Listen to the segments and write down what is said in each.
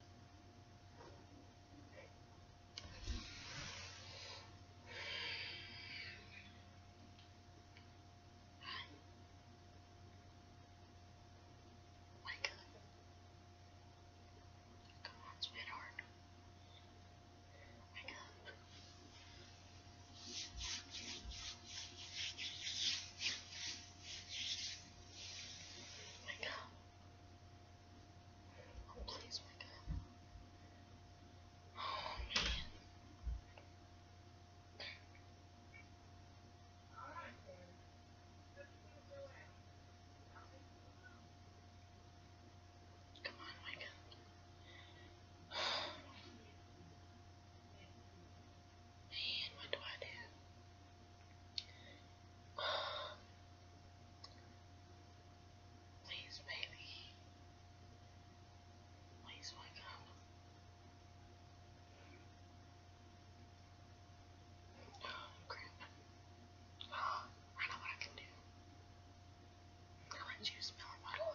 Oh my God. Come on, sweetheart. Wake up. Wake up. Oh, please wake up. Oh, man. Alright then. Come on, wake up. Man, what do I do? Please, baby. Please wake up. Oh, crap. I know what I can do. I'll let you smell a bottle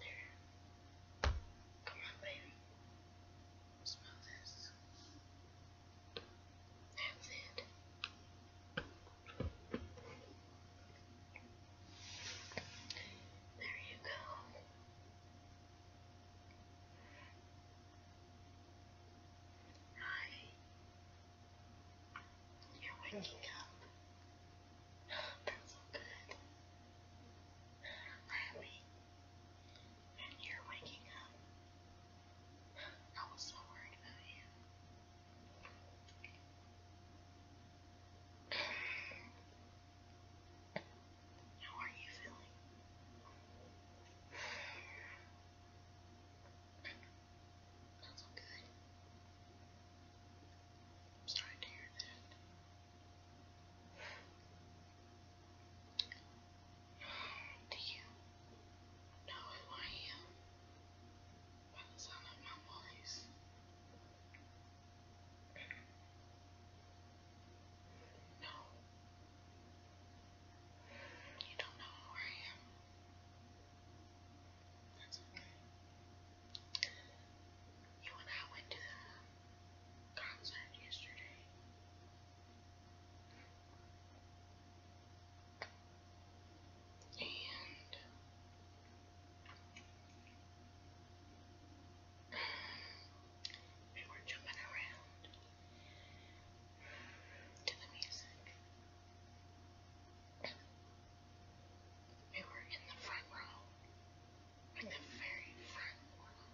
There. Come on, baby. Smell this. That's it. There you go. Hi. You're waking up. That's so good laughing, and you're waking up. I was so worried about you. How are you feeling? That's all good. I'm sorry to hear that. Do you know who I am by the sound my voice? No. You don't know who I am. That's okay. You and I went to the concept yesterday. we were jumping around to the music. We were in the front row at the very front corner.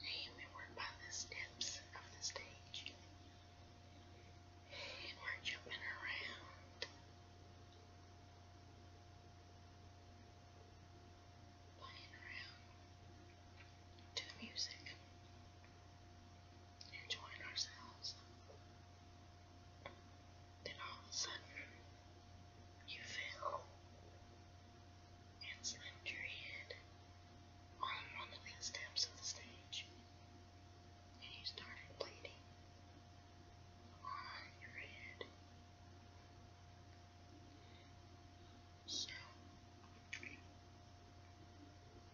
And we were by the steps of the stage. And we're jumping around. Playing around to the music. Enjoying ourselves. Then all of a sudden, you fell and slammed your head on one of the steps of the stage, and you started bleeding on your head. So,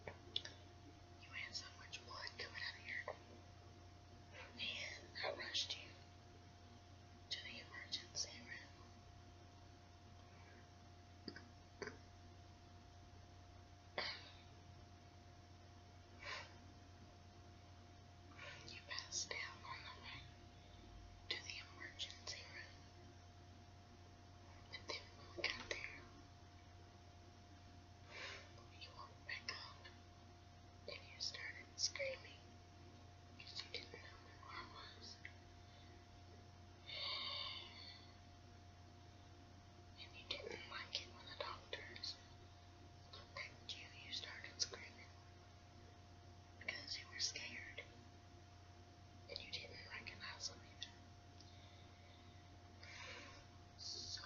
you had so much blood coming out of your and I rushed you to the emergency room. You passed down on the way to the emergency room. But then when we got there, you woke back up and you started screaming because you didn't know where I was. And you didn't like it when the doctors looked at you, you started screaming because you were scared. And you didn't recognize them either. So,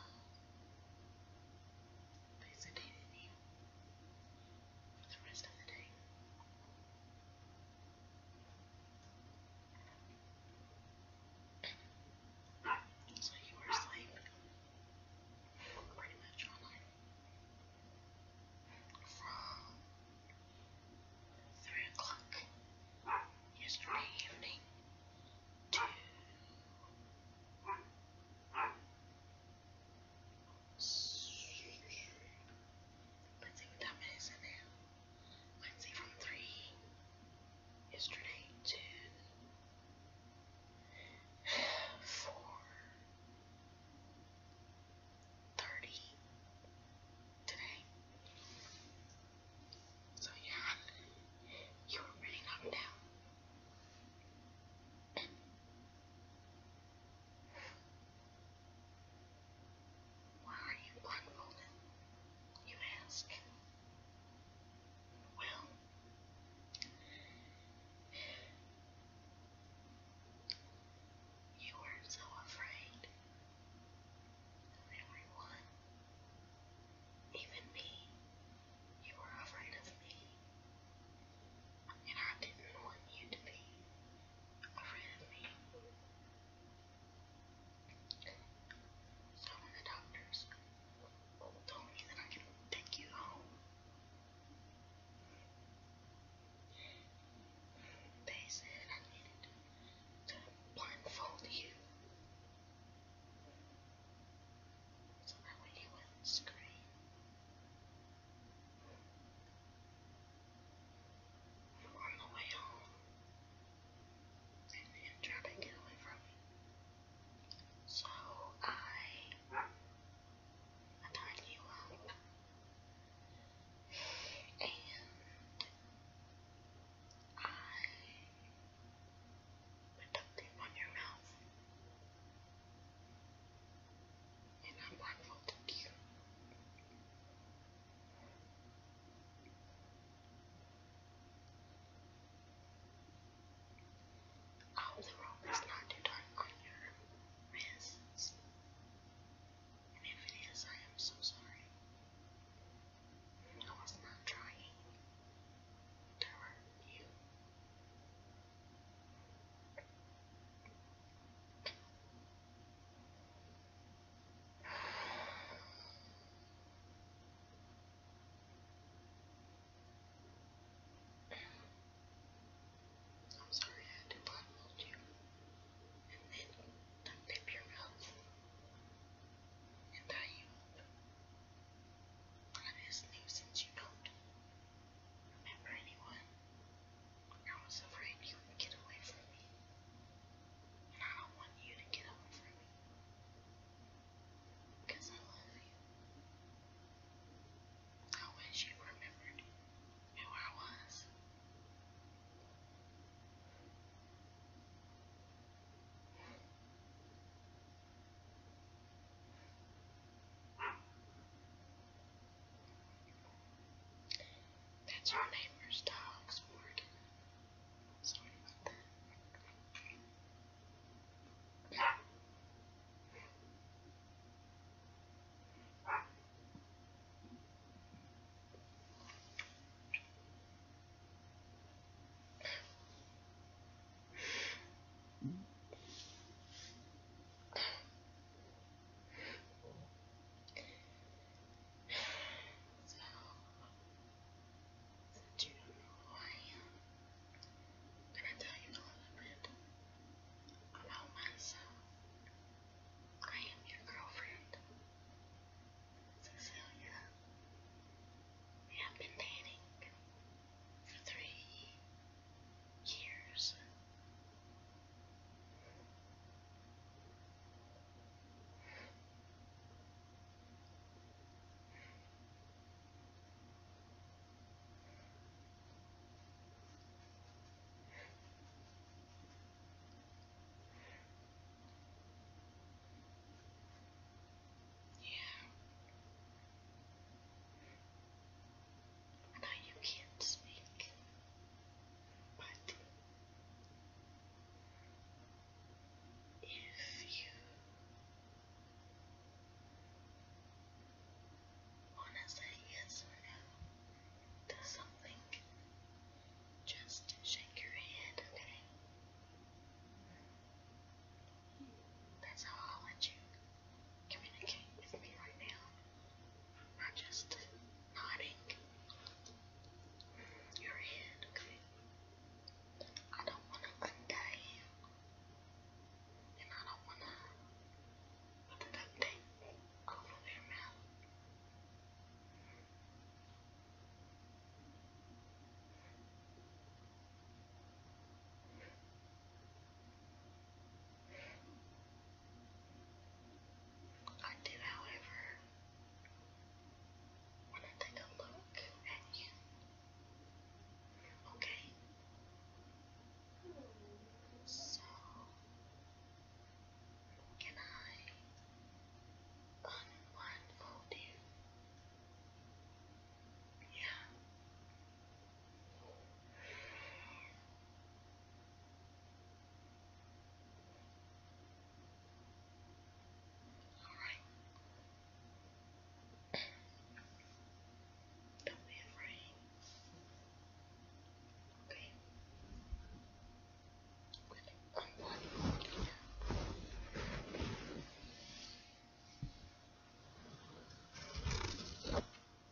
they sedated you for the rest of the day. So you were asleep pretty much all night. From three o'clock yesterday evening to Let's see what time it is now. Let's see from 3 yesterday to 4 today. So yeah, you were really knocked down. Why are you blindfolded? You ask. Well, you were so afraid of everyone, even me. You were afraid of me and I didn't want you to be afraid of me. So when the doctors told me that I could take you home, they said I needed to blindfold you. So that way you wouldn't scream. And on the way home, I am trying to get away from it. So I, I tied you up. And I put duct tape on your mouth. And I'm grateful to you. All the rope is not too dark on your wrists. And if it is, I am so sorry. I was not trying to hurt you. I'm sorry I had to you and then unzip um, your mouth and tie you up. That is new since you don't remember anyone. I was afraid you would get away from me. And I don't want you to get away from me. Because I love you. I wish you remembered who I was. That's our neighbor's dog's board. Sorry about that. So, since you don't know who I am, I'm gonna tell you a little bit about myself. I am your girlfriend, Cecilia. We have been dating for three years. Yeah. I you can't speak, but if you want to say yes or no to something, just shake your head, okay? That's how I'll let you communicate with me right now. Not just nodding your head, okay? I don't want to untie you. And I don't want to put the duct tape over your mouth. Okay. I did, however, want to take a look at you. Okay? So, can I unblindfold you? Yeah. Alright. Don't be afraid. Okay. Good.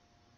Comfortable.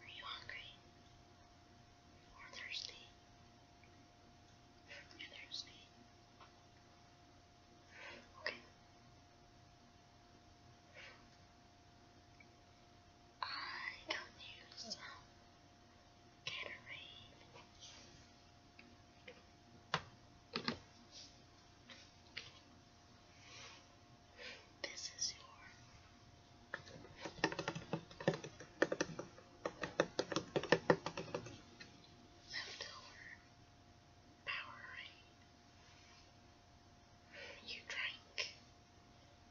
Are you hungry? Or thirsty? You're thirsty. Okay. I don't need some Gatorade. This is your leftover Powerade. You drank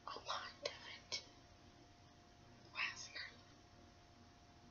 a lot of it last night.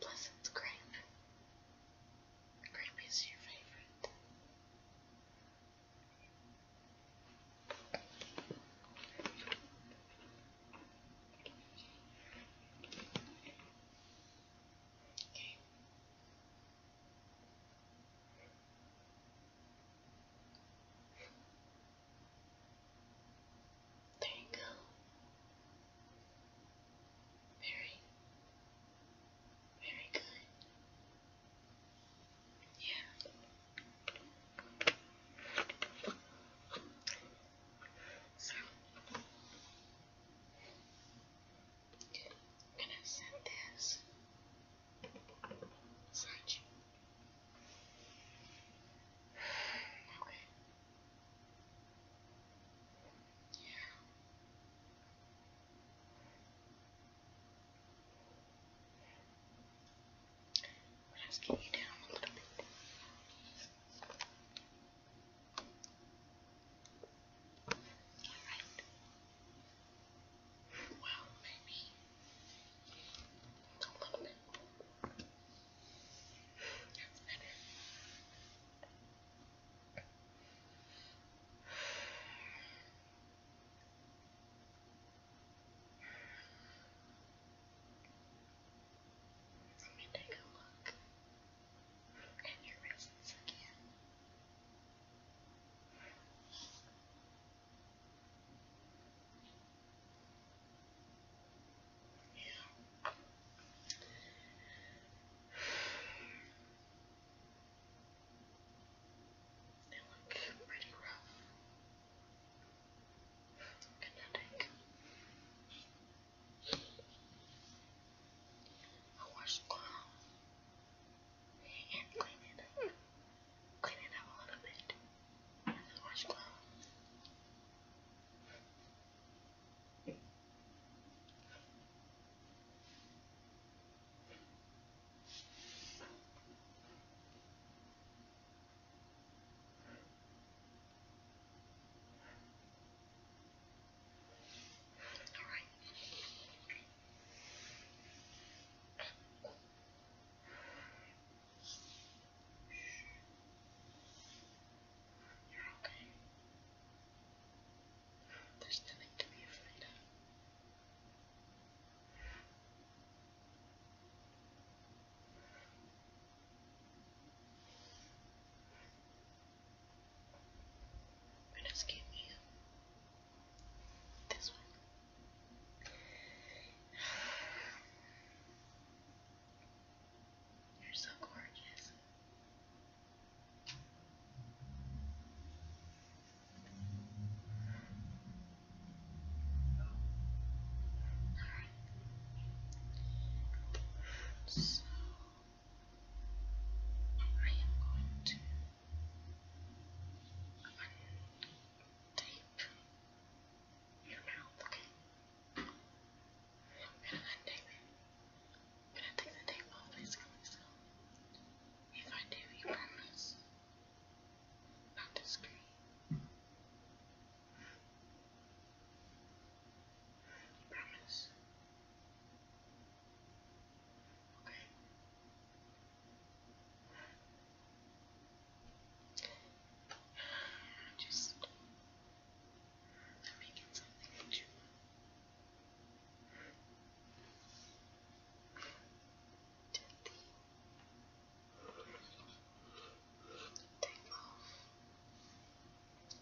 plus it's grape. Grape is your favorite. Okay. There you go. Very, very good. Yeah. So, gonna send this. Search Okay. Yeah. I'm just get you down a little bit. Alright. Well, maybe a little bit. That's better. Let me take a look at your wrists again. They look pretty rough. Kinetic. I wash the cloth and clean it up clean it up a little bit with the washcloth. All right. You're okay. There's nothing to be afraid of. We're just getting you. This one. You're so gorgeous. Alright. So I am going to tape your mouth, okay? I'm gonna untape I'm gonna take the tape off basically, so if I do, you promise not to scream. You promise? Okay. Just I'm making something to chew on. Gently take off. Just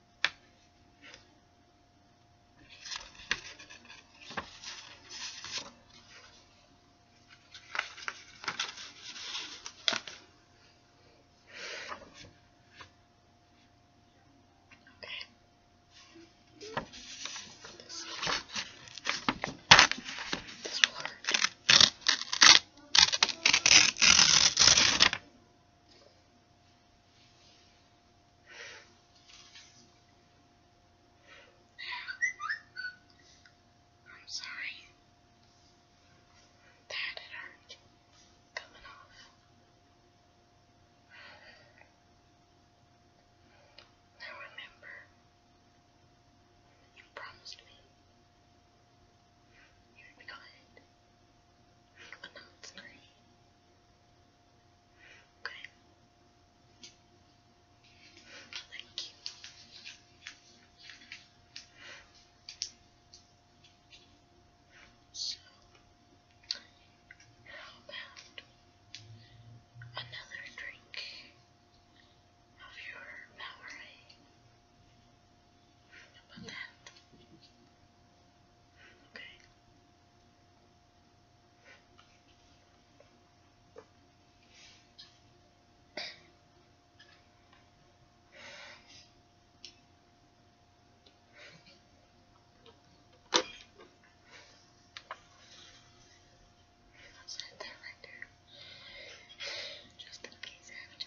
this will hurt. I'm sorry that it are coming off. Now remember, you promised me you'd be good. But now Okay. Thank you. So, how about another drink of your Powerade? about that? Okay. i set that right there, just in case I have to.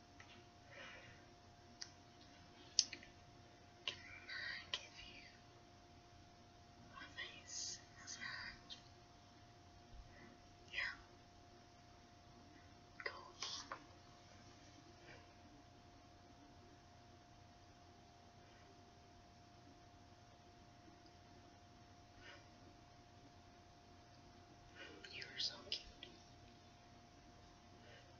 Can I give you a face massage? Yeah. Cool. You're so cute.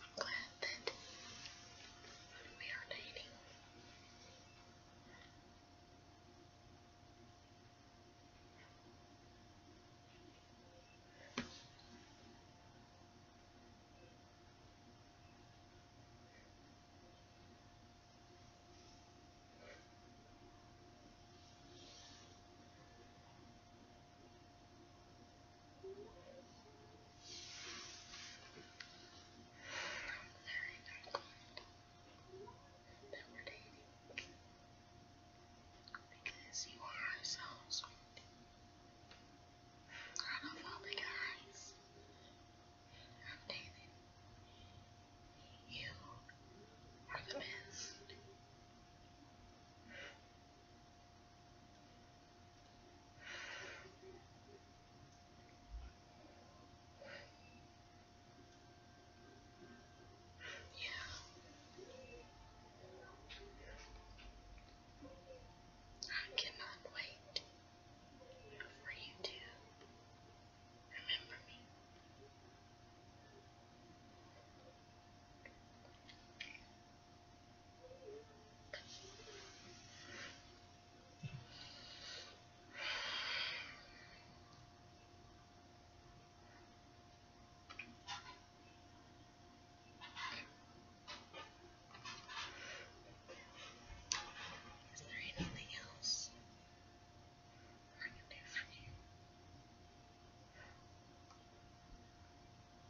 I'm glad that we are dating, that we're dating because you are so sweet. Out of all the guys I've dated, you are the best. Yeah. I cannot wait for you to remember me. Is there anything else I can do for you?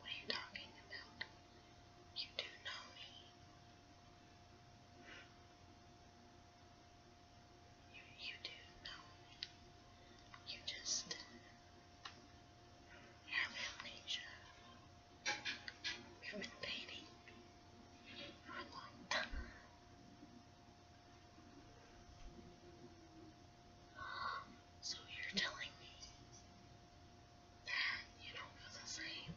What are you talking about? You do know me. You, you do know You just. have amnesia. We've been dating for a long So you're telling me that you don't feel the same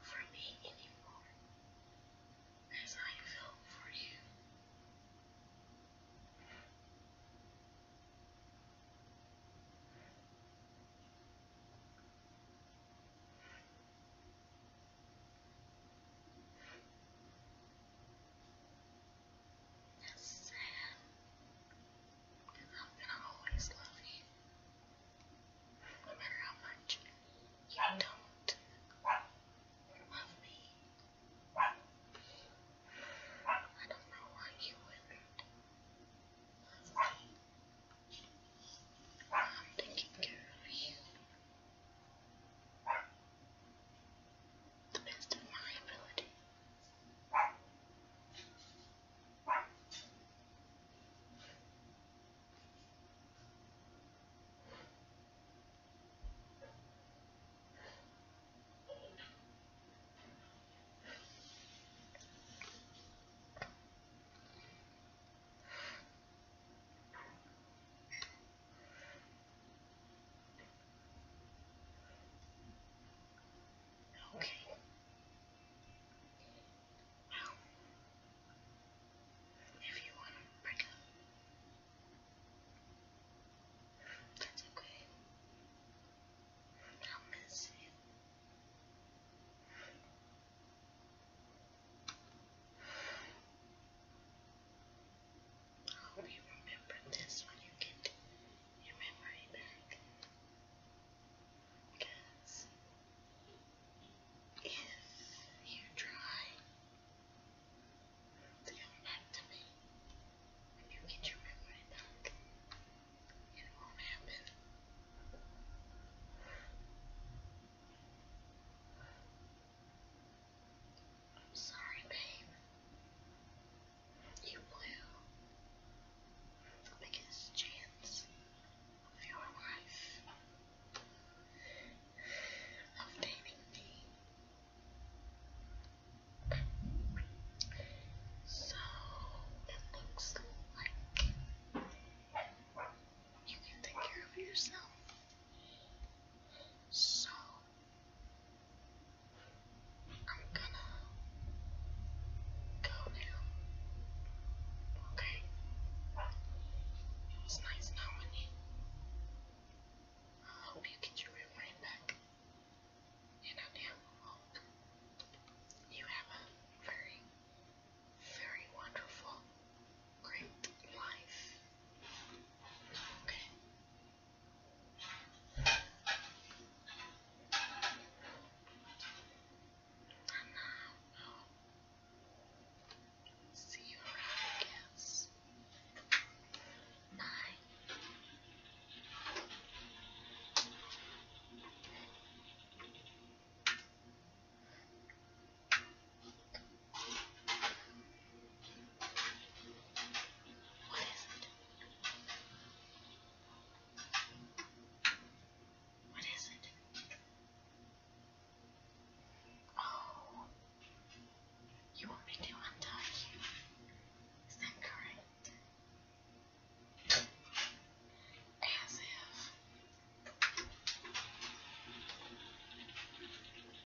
for me anymore as I feel for you. Yes, I am. gonna always love you. No matter how much you don't love me. I don't know why you would I'm taking care of you the best of my ability. Okay. Well, if you want to break up, that's okay. I'll miss you. I Hope you remember this when you get your memory back. Because if you try to come back to me when you get your memory back, it won't happen. I'm sorry, babe. You blew the biggest chance of your life of dating me. So it looks like you can take care of yourself. So I'm gonna go now. Okay. It was nice knowing you. I hope you get your memory back. And I hope you have a very, very wonderful Great life. Okay. And now i see you around, Bye. What is it? What is it? Oh, you want me to untie you? Is that correct? As if